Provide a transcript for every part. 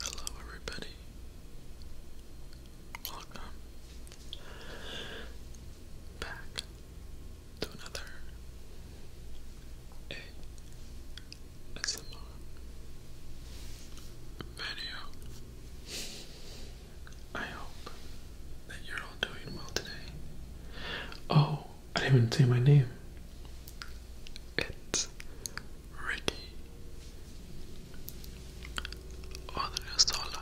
Hello, everybody. Welcome back to another ASMR video. I hope that you're all doing well today. Oh, I didn't even say my name. It's Ricky Odriozola.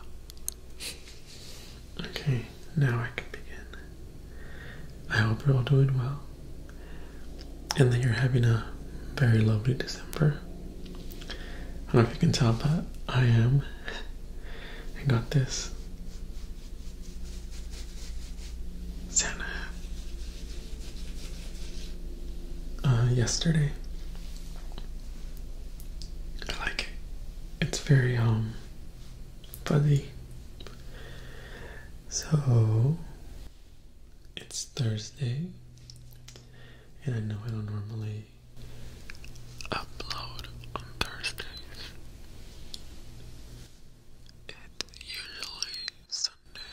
Okay, now I can begin. I hope you're all doing well and that you're having a very lovely December. I don't know if you can tell, but I am. I got this Santa uh, yesterday. I like it. It's very um fuzzy. So it's Thursday and I know I don't normally upload on Thursdays. It's usually Sunday.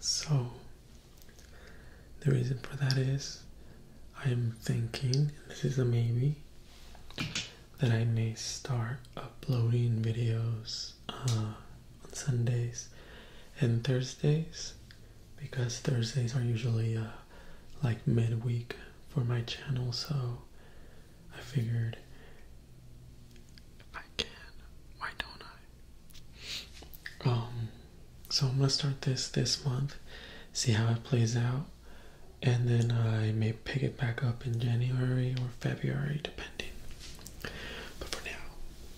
So, the reason for that is I am thinking, this is a maybe, that I may start uploading videos uh, on Sundays and Thursdays because Thursdays are usually uh, like midweek for my channel, so I figured if I can, why don't I? Um, so I'm gonna start this this month, see how it plays out, and then I may pick it back up in January or February, depending. But for now,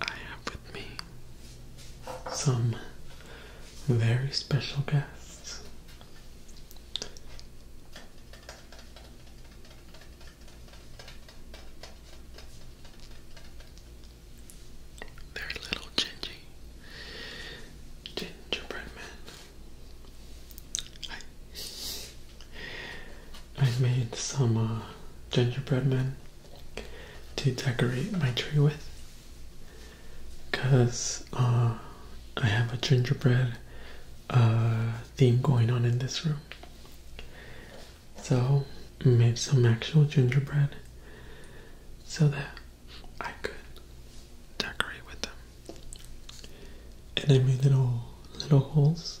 I have with me some very special guests. They're little Gingy Gingerbread Men. I, i made some uh, gingerbread men to decorate my tree with because uh, I have a gingerbread uh, theme going on in this room. So, made some actual gingerbread so that I could decorate with them. And I made little little holes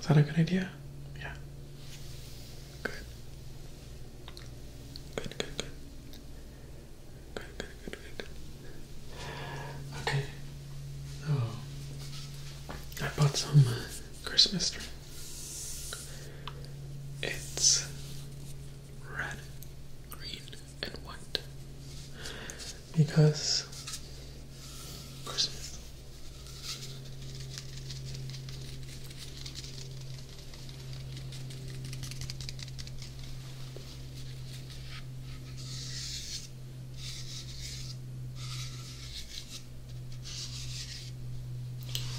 Is that a good idea? Yeah. Good. Good, good, good. Good, good, Okay. Oh. I bought some uh, Christmas tree. It's red, green, and white because Christmas.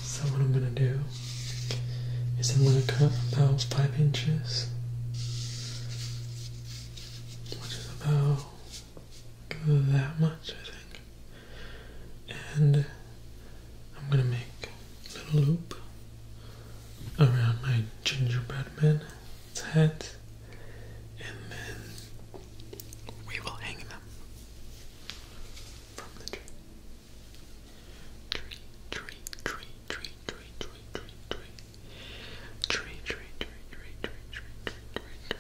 So what I'm gonna do is I'm gonna cut about five inches which is about that much, I think. And I'm gonna make a little loop around my gingerbread man's head, and then we will hang them from the tree. Tree, tree, tree, tree, tree, tree, tree, tree, Tree, tree, tree, tree, tree, tree, tree, tree, tree.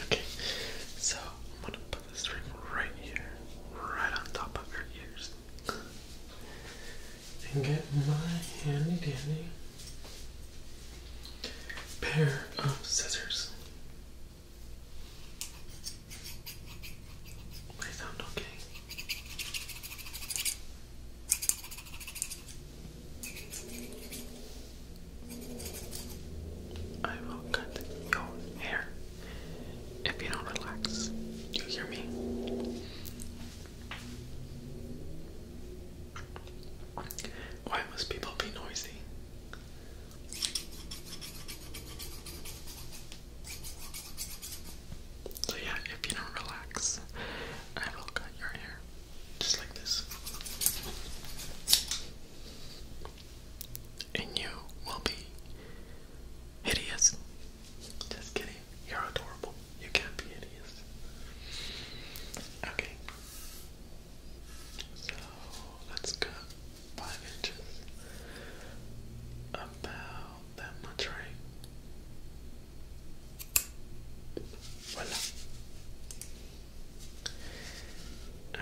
Okay, so I'm gonna this ring right here, right on top of your ears. And get my handy dandy pair of scissors. They sound okay. I will cut your hair if you don't relax. Do you hear me? Why must people be noisy? So, yeah, if you don't relax, I will cut your hair just like this and you will be hideous. Just kidding, you're adorable. You can't be hideous. Okay, so let's cut five inches about that much, right? Voila.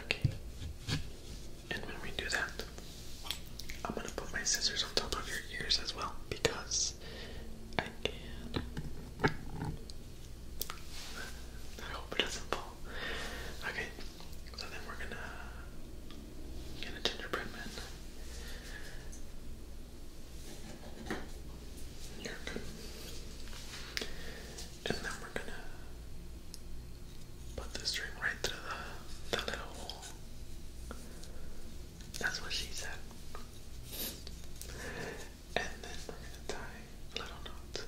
Okay, and when we do that, I'm gonna put my scissors on top of your ears as well because I can. I hope it doesn't fall. Okay, so then we're gonna get a gingerbread man. You're good. And then we're gonna Put the string right through the, little hole. That's what she said. And then we're gonna tie little knot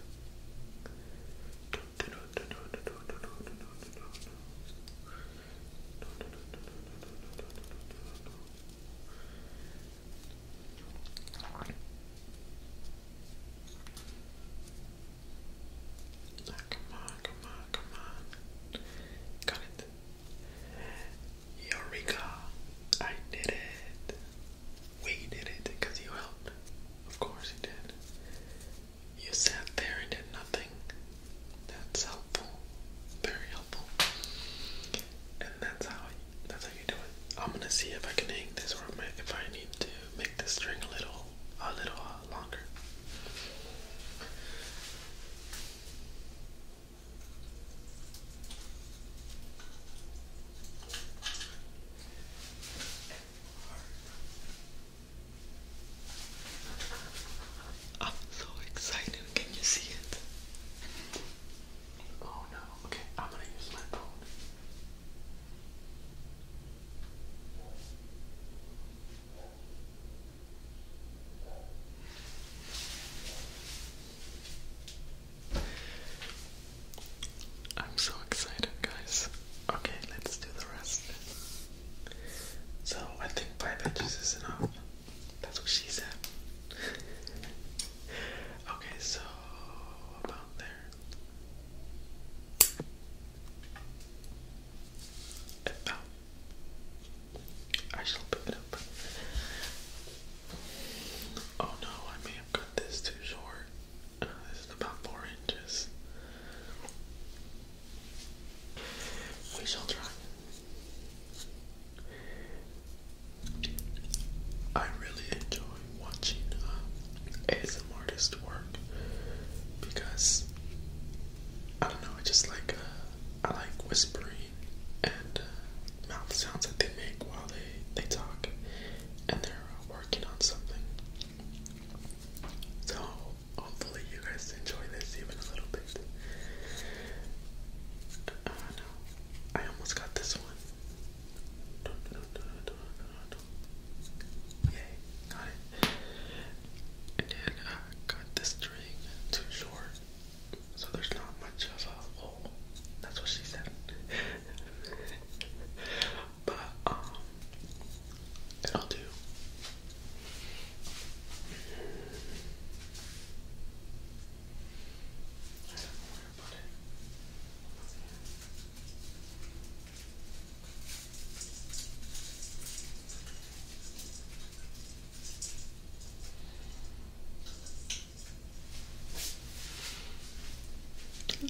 come on, come on, come on. Got it. Eureka! I did it. We did it because you helped. Of course you did. You sat there and did nothing. That's helpful. Very helpful. And that's how that's how you do it. I'm gonna see if I can hang this or if I need to make the string a little a little uh, longer. I'm so excited. Can you see it? Oh no. Okay, I'm gonna use my phone. I'm so excited, guys. Okay, let's do the rest. So, I think five inches is enough. That's what she said. okay, so about there now I shall pick it up. Oh no, I may have cut this too short. this is about four inches. We shall try. I really enjoy watching uh, ASM artist work because I don't know, I just like uh, I like whispering and uh, mouth sounds that they make while they they talk and they're uh, working on something. So hopefully you guys enjoy this even a little bit. Uh, no, I almost got this one. Yay, got it. And then I uh, cut the string too short, so there's not much of a hole. That's what she said. but um, it'll do.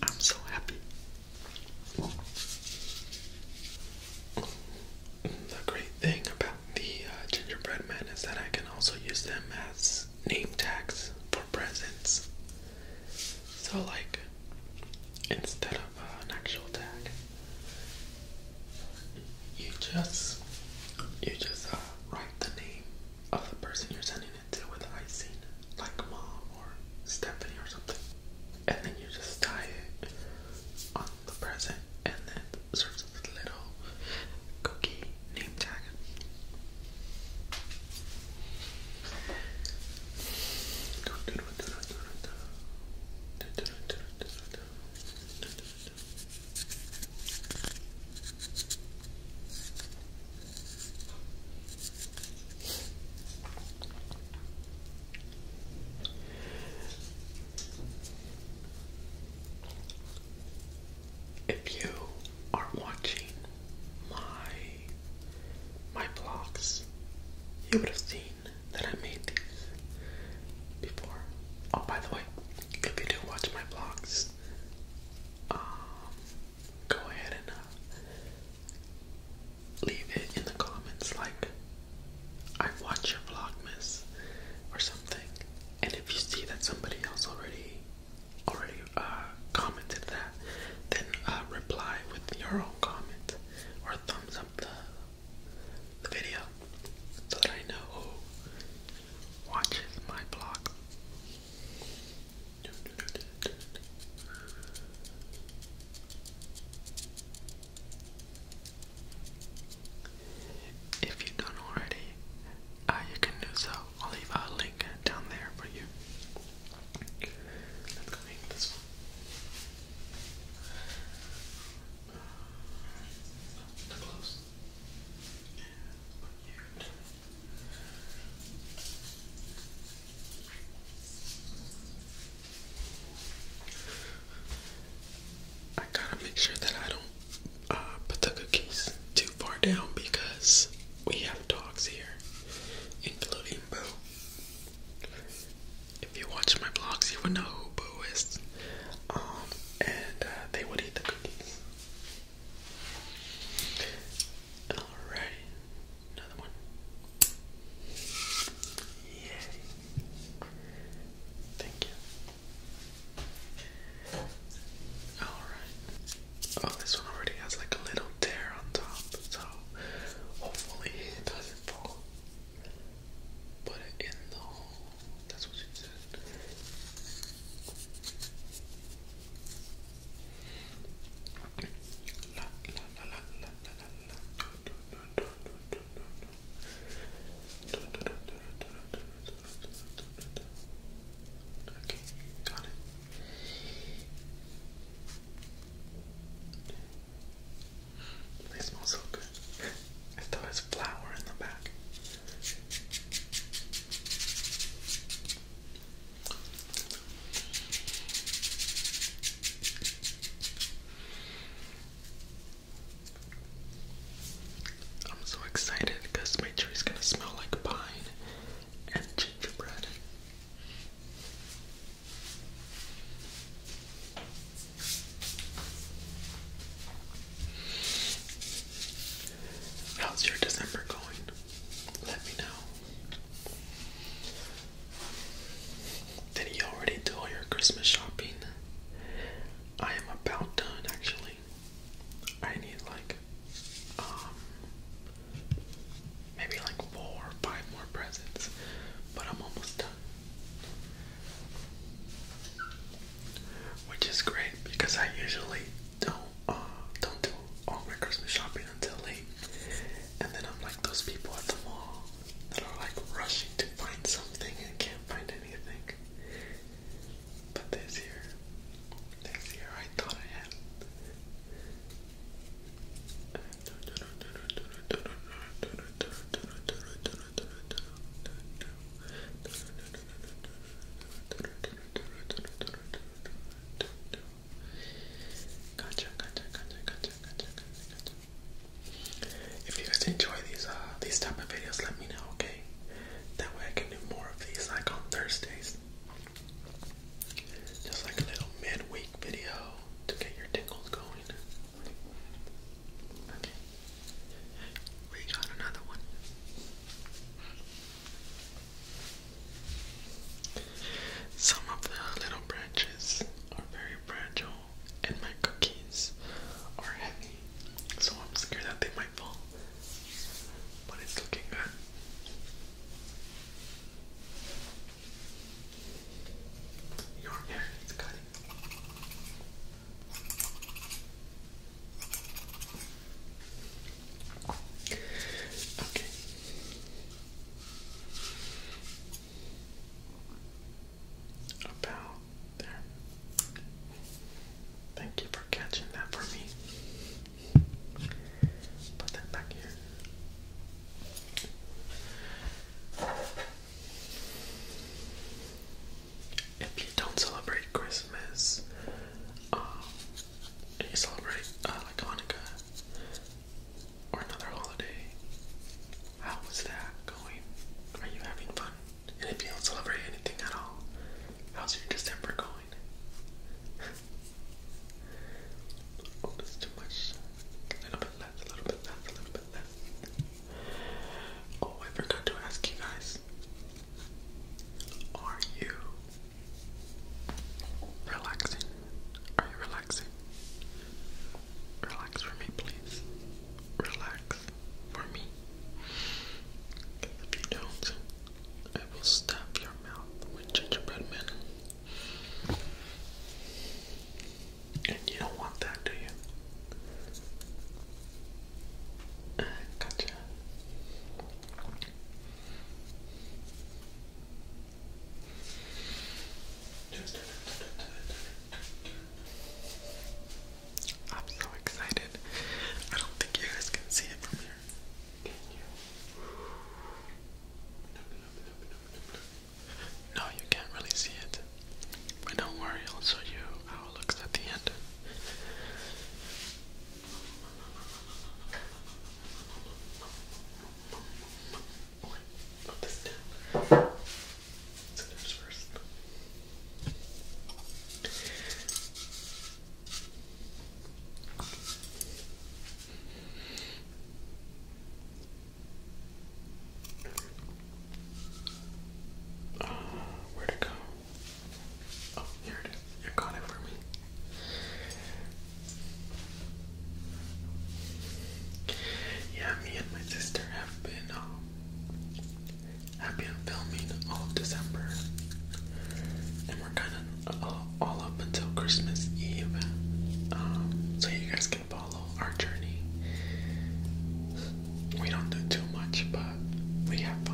I'm so happy. The great thing about the uh, gingerbread men is that I can also use them as name tags for presents. So, like, instead of uh, an actual tag. You just you just uh, write the name of the person you're sending it to with icing, like mom or Stephanie or something, and then you just tie it on the present, and then it serves as a little cookie name tag. If you are watching my my blogs, you would have seen that I made these before. Oh, by the way, if you do watch my blogs, um, go ahead and uh, leave it in the comments like I watch your vlogmas or something. And if you see that somebody else already already uh, commented that, then uh, reply with your own comment or thumbs up the, the video so that I know who watches my blog. If you don't already, uh, you can do so. I'll leave a link down there for you. I gotta make sure that I don't uh, put the cookies too far down because we have dogs here, including Boo. If you watch my blogs, you would know who Boo is. Um, and uh, they would eat the cookies. Alright, another one. Yay. Thank you. Alright. Oh, this one already has like a little tear on top, so hopefully it doesn't fall. Put it in the hole. That's what she said. La, la, la, la, la, la, la. Okay, got it. They smell so good. It still has in the back. I'm so excited because my tree is gonna smell like pine and gingerbread. How's your December going? Let me know. Did he already do your Christmas shopping? I am about done actually. I need like um, maybe like four five more presents, but I'm almost done. Which is great because I usually don't uh, don't do all my Christmas shopping until late, and then I'm like those people at the mall that are like rushing to find something and can't find anything. But this year, if you guys enjoy these uh these type of videos, let me know, okay? That way I can do more of these like on Thursdays. Just like a little midweek video to get your tingles going. We got another one. Some of the little branches are very fragile, and my cookies are heavy, so I'm scared that they might fall but it's looking good. Your hair is cutting. Okay. About there. Thank you for catching that for me. Put that back here. If you don't celebrate Christmas, um, you celebrate uh, like Hanukkah or another holiday, how was that going? Are you having fun? And if you don't celebrate anything at all, how's your December going? oh, that's too much. A little bit less, a little bit less, a little bit less. Oh, I forgot to ask you guys. Are you relaxing? Are you relaxing? Relax for me, please. Relax for me. If you don't, I will stab your mouth with gingerbread men. And you don't want that, do you? Ah, gotcha. I'm so excited. I don't think you guys can see it here. No, you can't really see it. But don't worry, I'll show you how it looks at the end. put this down. let first. Uh, where'd go? Oh, here it is. You got it for me. Yeah, me and my sister have been um, I've filming all December, and we're kind of uh, all, up until Christmas Eve. Um, so you guys can follow our journey. We don't do too much, but we have fun.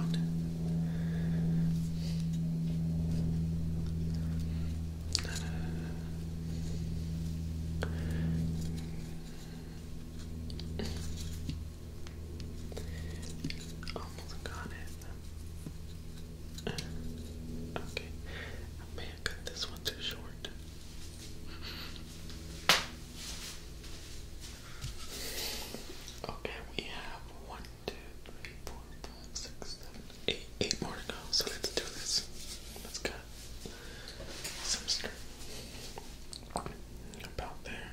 Almost got it. okay. I may have cut this one too short. Okay, we have one, two, three, four, five, six, seven, eight, eight more to go. So let's do this. Let's cut some string about there.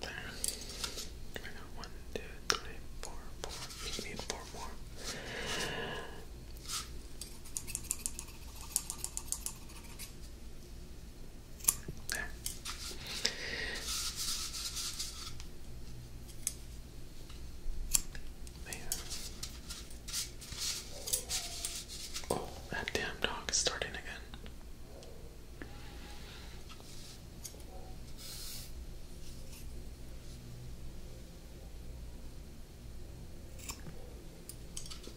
there. I got one, two, three, four, four. need four more. There. There. Oh, that damn dog is starting again.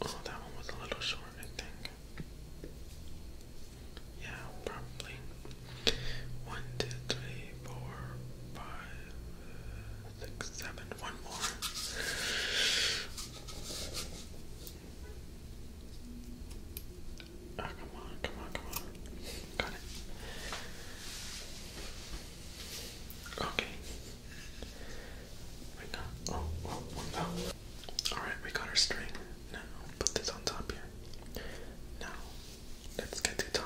Oh, that one was a little short, I think. Yeah, probably. One, two, three, four, five, One more come on, come on, come on. Got it. Okay. We got, oh, Alright, we got our string. Now, put this on top here. Now, let's get it tied.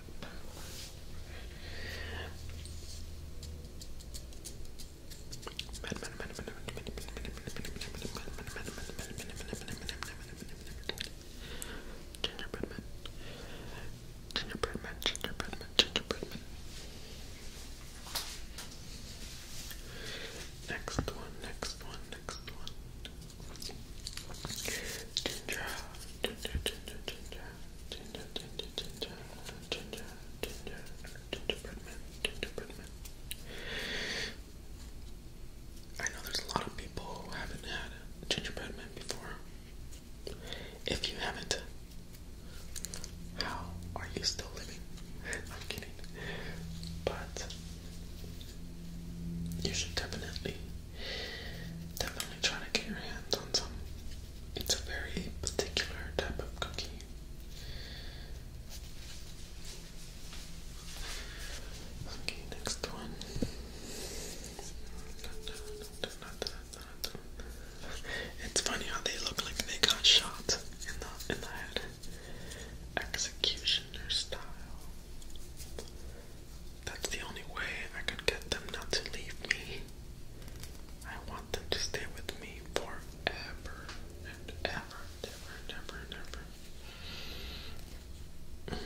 Gingerbread man. Gingerbread man, gingerbread man, gingerbread man. Next one, next one, next one. Ginger, ginger, ginger, ginger, ginger, ginger, ginger, ginger, ginger, gingerbread man, gingerbread man. I know there's a lot of people who haven't had gingerbread man before. If you haven't, how are you still living? I'm kidding. But you should definitely Definitely try to get your hands on some. It's a very particular type of cookie. Okay, next one. It's funny how they look like they got shot in the in the head. Executioner style. That's the only way I could get them not to leave me. I want them to stay with me forever ever and ever and ever and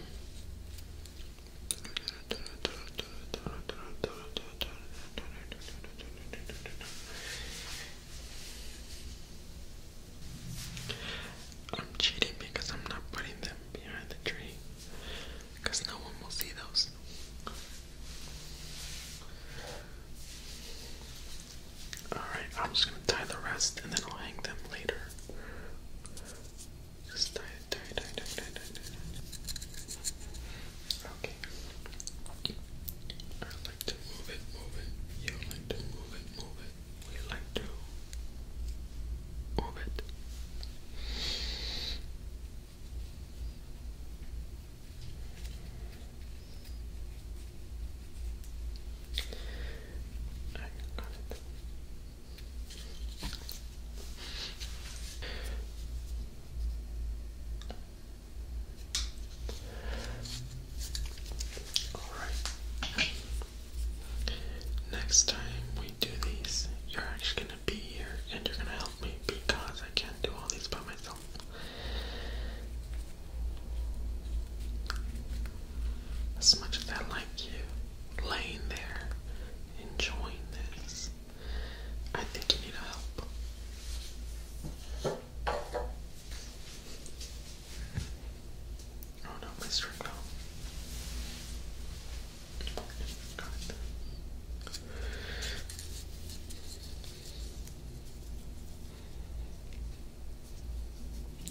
I'm cheating because I'm not putting them behind the tree because no one will see those. Alright, I'm just gonna tie the rest and then I'll hang them later. Just tie it, tie it, tie it, tie it, tie it, tie it. Okay. I like to move it, move it. You like to move it, move it we like to orbit. I got it. All right. Next time we do these, you're actually gonna be here and you're gonna help me because I can't do all these by myself. As much as I like you laying there enjoying this, I think you need help. Oh no, please drink now.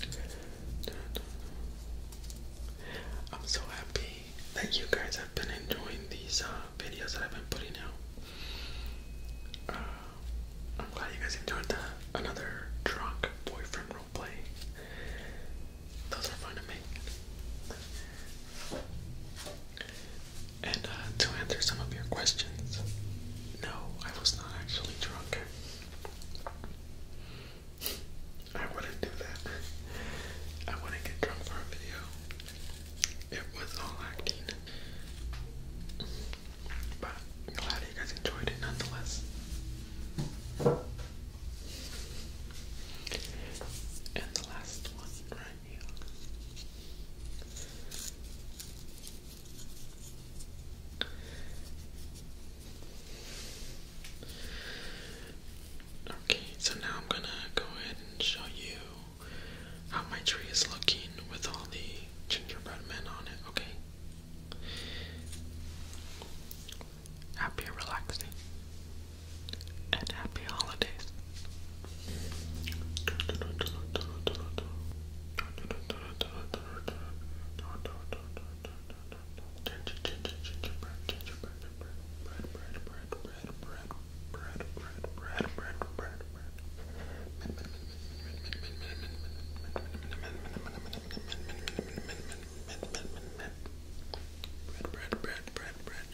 Got it. I'm so happy that you guys have been enjoying these uh, videos that I've been putting out. Uh, I'm glad you guys enjoyed another drunk boyfriend roleplay. Those are fun to make. And uh, to answer some of your questions, no, I was not actually drunk. I wouldn't do that. I wouldn't get drunk for a video. It was all acting. But glad you guys enjoyed it nonetheless. And the last one right here. Okay, so now I'm gonna go ahead and show you how my tree is looking with all the gingerbread men on it, okay? happy relaxing, and happy holidays. bread, bread, bread, bread, bread, bread, bread, bread.